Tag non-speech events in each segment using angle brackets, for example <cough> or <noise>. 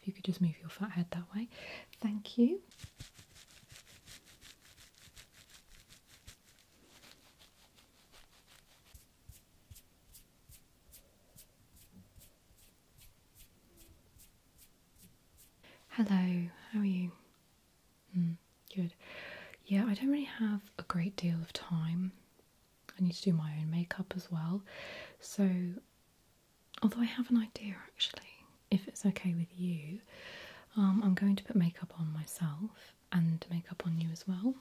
If you could just move your fat head that way, thank you. Hello, how are you? Hmm, good. Yeah, I don't really have a great deal of time. I need to do my own makeup as well. So, although I have an idea actually, if it's okay with you, um, I'm going to put makeup on myself and makeup on you as well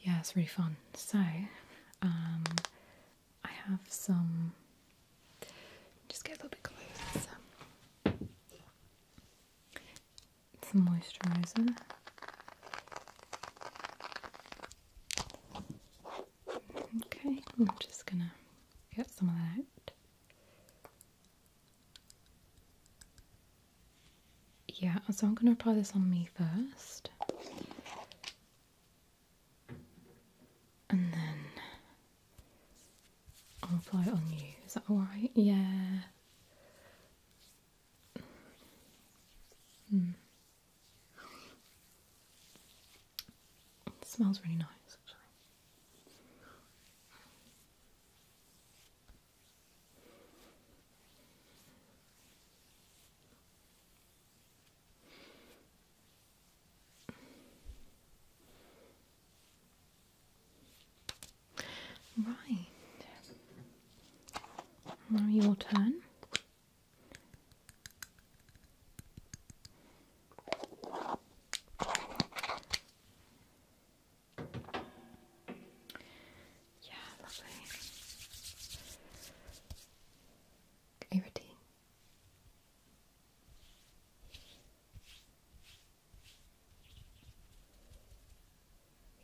yeah, it's really fun. So, um, I have some. Just get a little bit closer. Some moisturiser. Okay, I'm just gonna get some of that out. Yeah, so I'm gonna apply this on me first. And then I'll apply it on you. Is that alright? Yeah. Hmm. smells really nice, actually. Right. Now your turn. Yeah, lovely. Are you ready?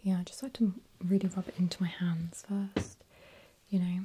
Yeah, I just like to really rub it into my hands first, you know.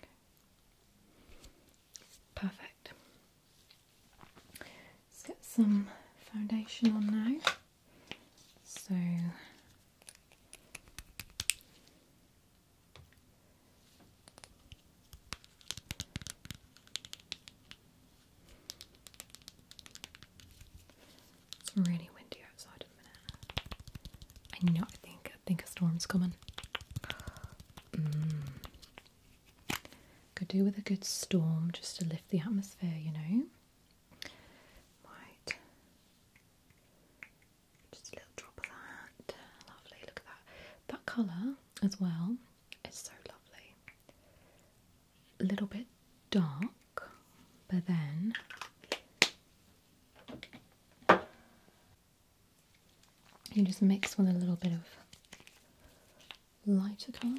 Okay. Perfect. Let's get some foundation on now. So It's really windy outside i know. I think. I think a storm's coming. Could do with a good storm just to lift the atmosphere, you know. Right. Just a little drop of that. Lovely. Look at that. That colour as well It's so lovely. A little bit dark, but then you just mix with a little bit of lighter colour.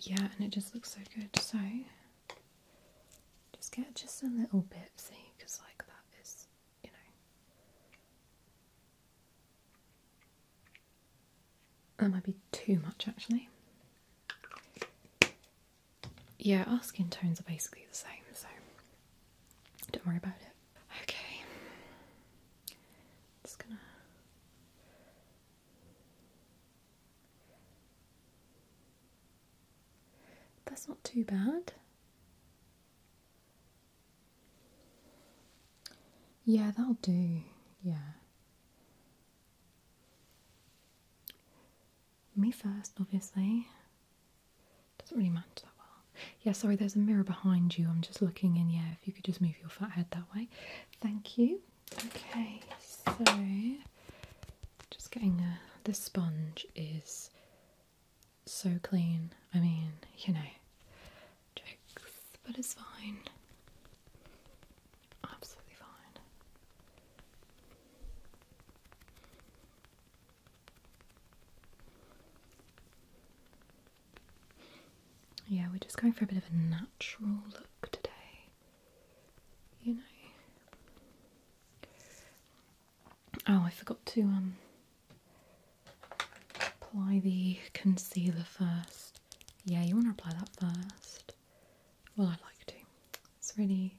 Yeah, and it just looks so good. So, just get just a little bit, see, because like that is, you know, that might be too much actually. Yeah, our skin tones are basically the same, so don't worry about it. Okay. Just gonna That's not too bad. Yeah, that'll do. Yeah. Me first, obviously. Doesn't really match that well. Yeah, sorry, there's a mirror behind you. I'm just looking in. Yeah, if you could just move your fat head that way. Thank you. Okay, so just getting a. This sponge is so clean. I mean, you know, but it's fine. Absolutely fine. Yeah, we're just going for a bit of a natural look today. You know. Oh, I forgot to um apply the concealer first. Yeah, you want to apply that first. Well, I like to. It's really,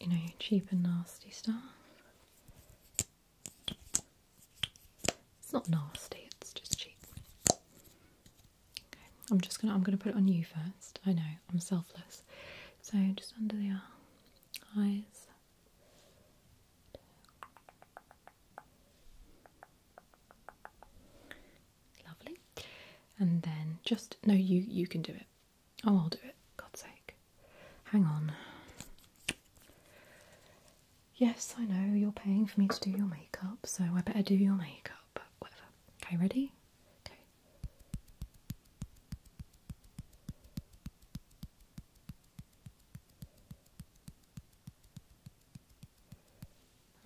you know, cheap and nasty stuff. It's not nasty, it's just cheap. Okay, I'm just gonna I'm gonna put it on you first. I know, I'm selfless. So just under the uh, eyes. Lovely. And then just no you you can do it. Oh I'll do it, God's sake. Hang on. Yes, I know you're paying for me to do your makeup, so I better do your makeup. Whatever. Okay, ready? Okay.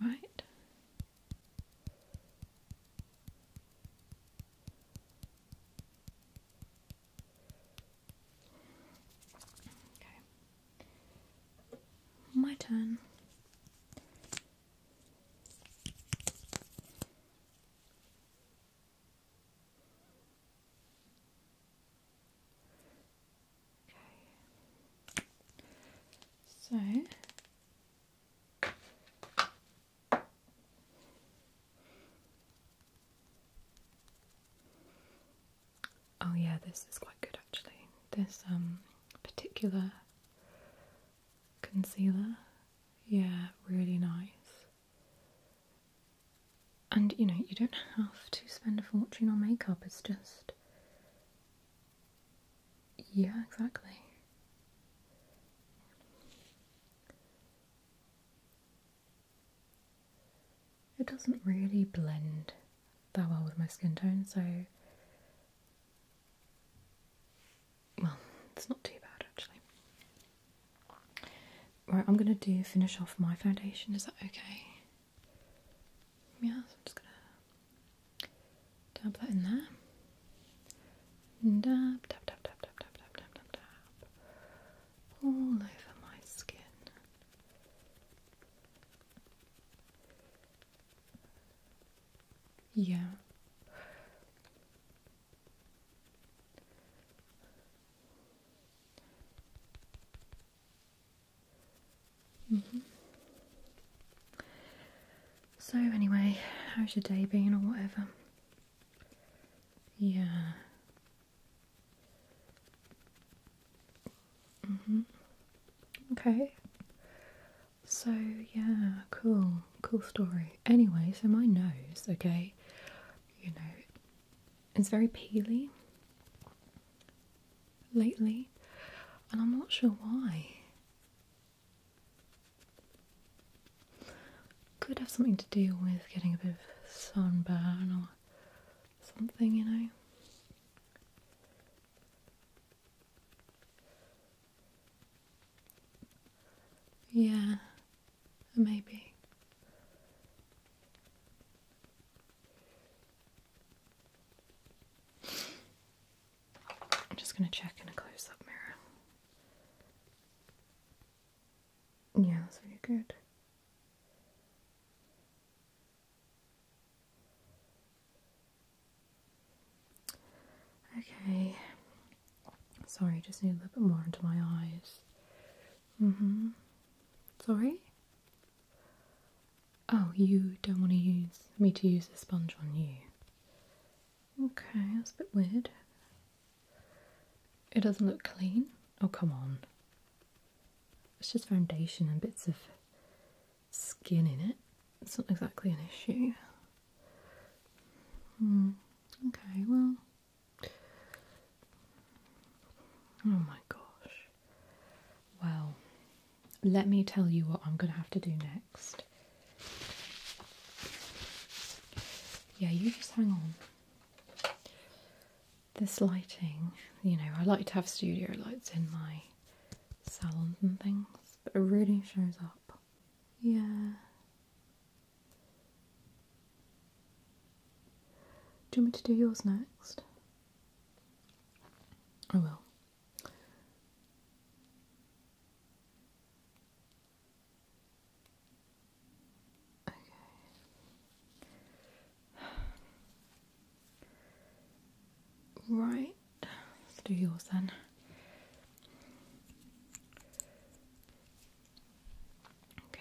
Right. Okay. My turn. Okay. So Oh yeah, this is quite good actually. This um particular concealer. Yeah, really nice. And you know, you don't have to spend a fortune on makeup, it's just yeah, exactly. It doesn't really blend that well with my skin tone, so well, it's not too bad actually. Right, I'm gonna do finish off my foundation. Is that okay? Yeah, I'm just gonna dab that in there. Dab, dab, dab, dab, dab, dab, dab, dab, dab, dab. All over my skin. Yeah. Mm-hmm. So, anyway, how's your day been or whatever? Yeah. hmm Okay. So, yeah, cool. Cool story. Anyway, so my nose, okay, you know, it's very peely lately, and I'm not sure why. Could have something to do with getting a bit of sunburn or something, you know. Yeah, maybe. I'm just going to check in a close up mirror. Yeah, that's really good. Okay. Sorry, I just need a little bit more into my eyes. Mm hmm. Sorry? Oh, you don't want to use me to use the sponge on you. Okay, that's a bit weird. It doesn't look clean. Oh, come on. It's just foundation and bits of skin in it. It's not exactly an issue. Hmm. Okay, well. Oh my gosh. Well, let me tell you what I'm going to have to do next. Yeah, you just hang on. This lighting, you know, I like to have studio lights in my salons and things, but it really shows up. Yeah. Do you want me to do yours next? I will. Okay. Right, let's do yours then. Okay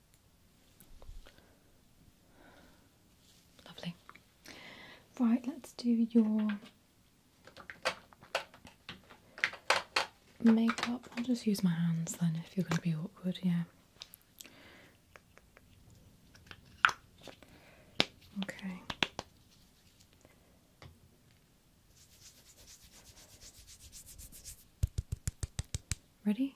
Lovely. Right, let's do your makeup. I'll just use my hands then if you're going to be awkward, yeah. Okay. Ready?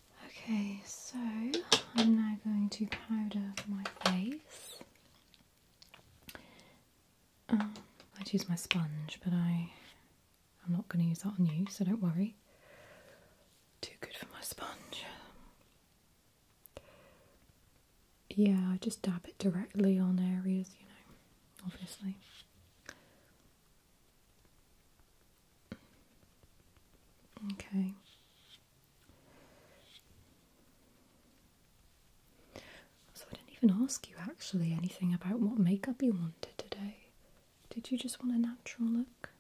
Okay, so I'm now going to powder my face. Um, I use my sponge, but I I'm not going to use that on you, so don't worry. Too good for my sponge. Yeah, I just dab it directly on areas, you know, obviously. Okay. So I didn't even ask you actually anything about what makeup you wanted today. Did you just want a natural look?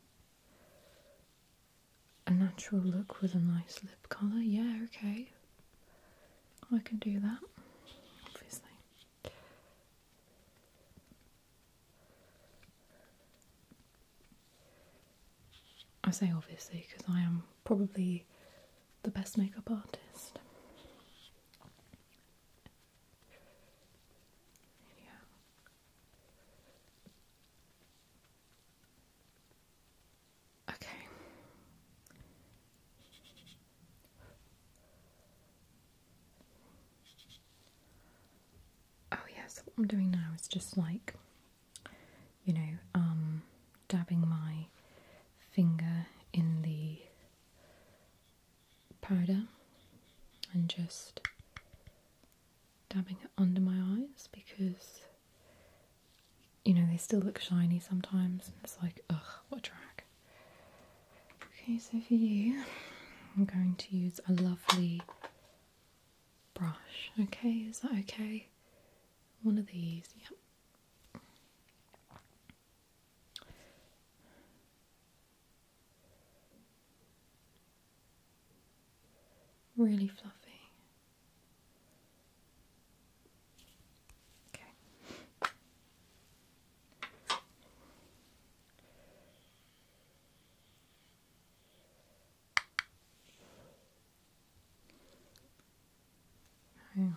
A natural look with a nice lip colour? Yeah, okay. I can do that, obviously. I say obviously because I am probably the best makeup artist. Okay. Oh yes. what I'm doing now is just like, you know, um, dabbing my finger in the powder and just dabbing it under my eyes because you know they still look shiny sometimes and it's like ugh what a drag okay so for you I'm going to use a lovely brush. Okay, is that okay? One of these, yep. Really fluffy. Okay. Hang on.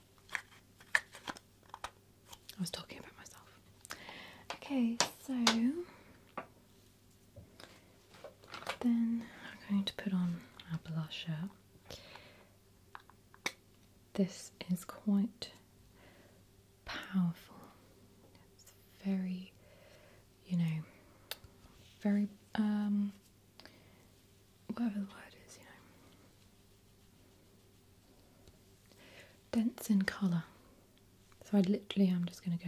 I was talking about myself. Okay, so then I'm going to put on our blusher. This is quite powerful. It's very, you know, very, um, whatever the word is, you know dense in colour. So I literally am just going to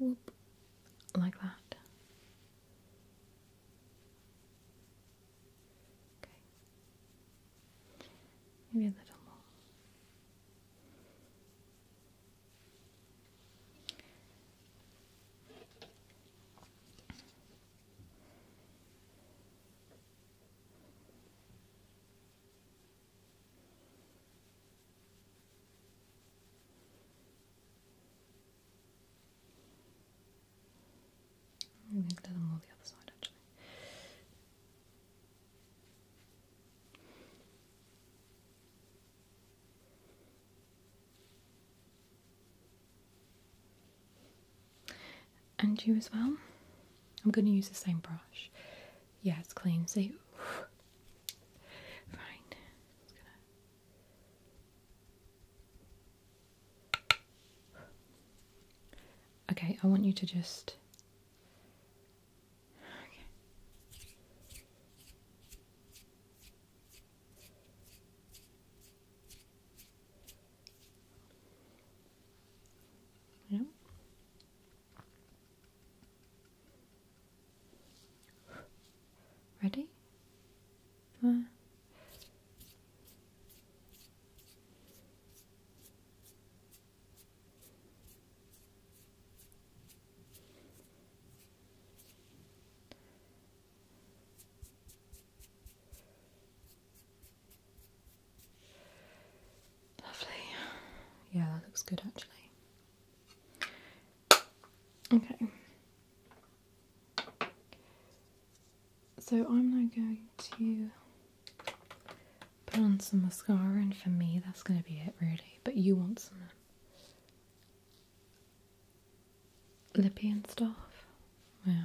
go like that. Maybe a little more. I'm going to glue them all the other side actually. And you as well. I'm going to use the same brush. Yeah, it's clean. See, fine. Okay, I want you to just. Yeah. Ready? Uh. Lovely. Yeah, that looks good actually. Okay. So I'm now going to put on some mascara, and for me, that's going to be it really. But you want some lippy and stuff? Yeah.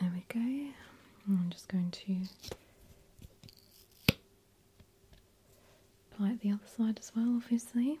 There we go. I'm just going to apply it the other side as well, obviously.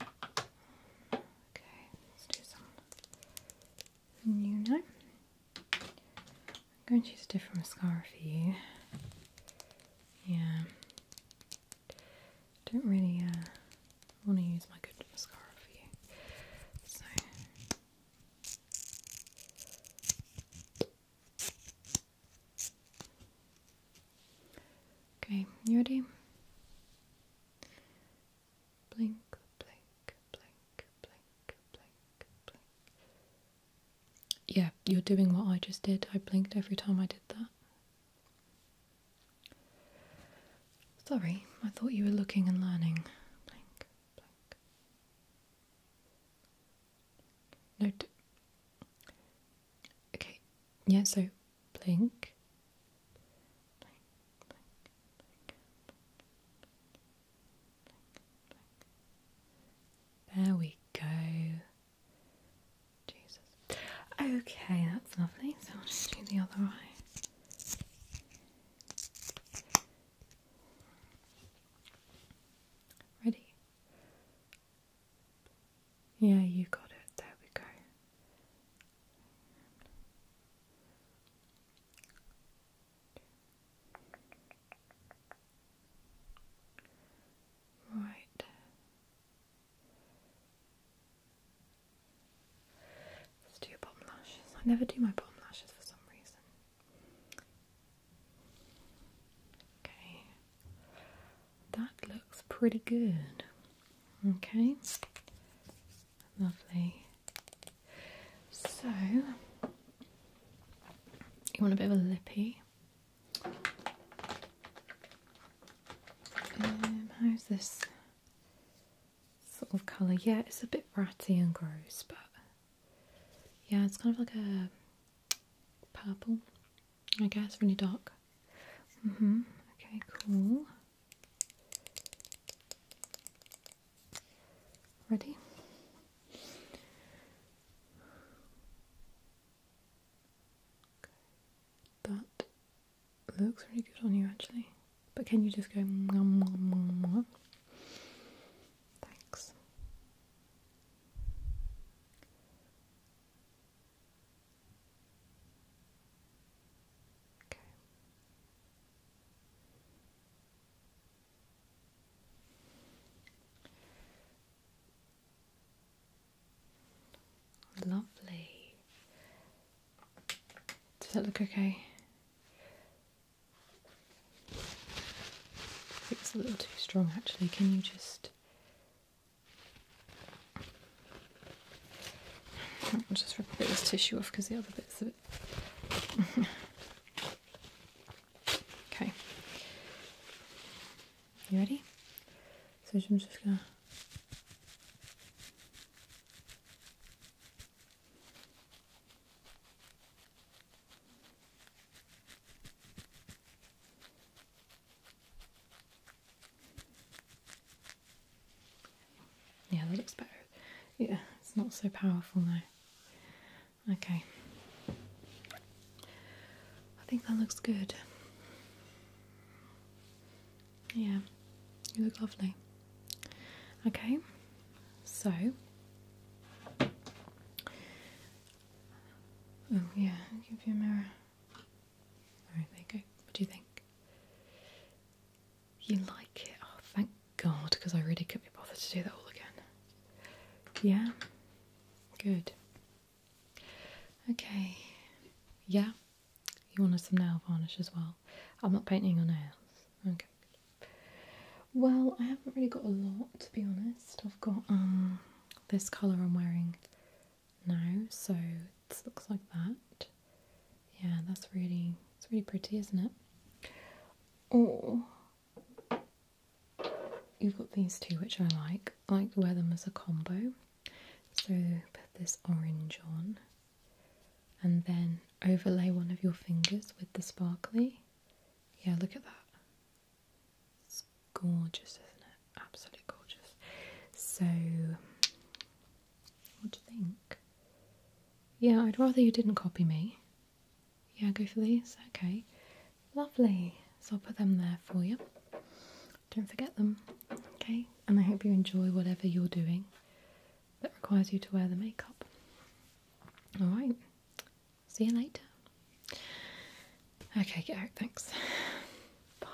Okay, let's do some Nuno. I'm going to use a different mascara for you. Yeah, don't really uh, want to use my good mascara for you. Okay, you ready? Blink, blink, blink, blink, blink, blink. Yeah, you're doing what I just did. I blinked every time I did that. Sorry, I thought you were looking and learning. Note. okay. Yeah, so blink. blink. There we go. Jesus. Okay, that's lovely. So I'll just do the other eye. Ready? Yeah, you got it. There we go. Right. Let's do your bottom lashes. I never do my bottom lashes for some reason. Okay, that looks pretty good. Okay, lovely. So, you want a bit of a lippy? Um, how's this sort of colour? Yeah, it's a bit ratty and gross, but yeah, it's kind of like a purple, I guess, really dark. Mm hmm. Okay, cool. Ready? That looks really good on you, actually. But can you just go? Thanks. Okay. Lovely. Does that look okay? It's a little too strong actually. Can you just. just rip a bit of this tissue off because the other bit's a bit. <laughs> okay. You ready? So I'm just gonna. Yeah, that looks better. Yeah, it's not so powerful now. Okay. I think that looks good. Yeah, you look lovely. Okay, so Oh yeah, give you a mirror. there you go. What do you think? You like it? Oh, thank God, because I really couldn't be bothered to do that all again. Yeah? Good. Okay. Yeah? You want some nail varnish as well? I'm not painting on nails. Okay. Well, I haven't really got a lot, to be honest list. I've got um this colour I'm wearing now, so it looks like that. Yeah, that's really it's really pretty, isn't it? Oh, you've got these two which I like. I like to wear them as a combo. So put this orange on and then overlay one of your fingers with the sparkly. Yeah, look at that. It's gorgeous, isn't it? Absolutely gorgeous. So, what do you think? Yeah, I'd rather you didn't copy me. Yeah, go for these. Okay. Lovely. So I'll put them there for you. Don't forget them. Okay. And I hope you enjoy whatever you're doing that requires you to wear the makeup. Alright. See you later. Okay, get out, thanks. Bye.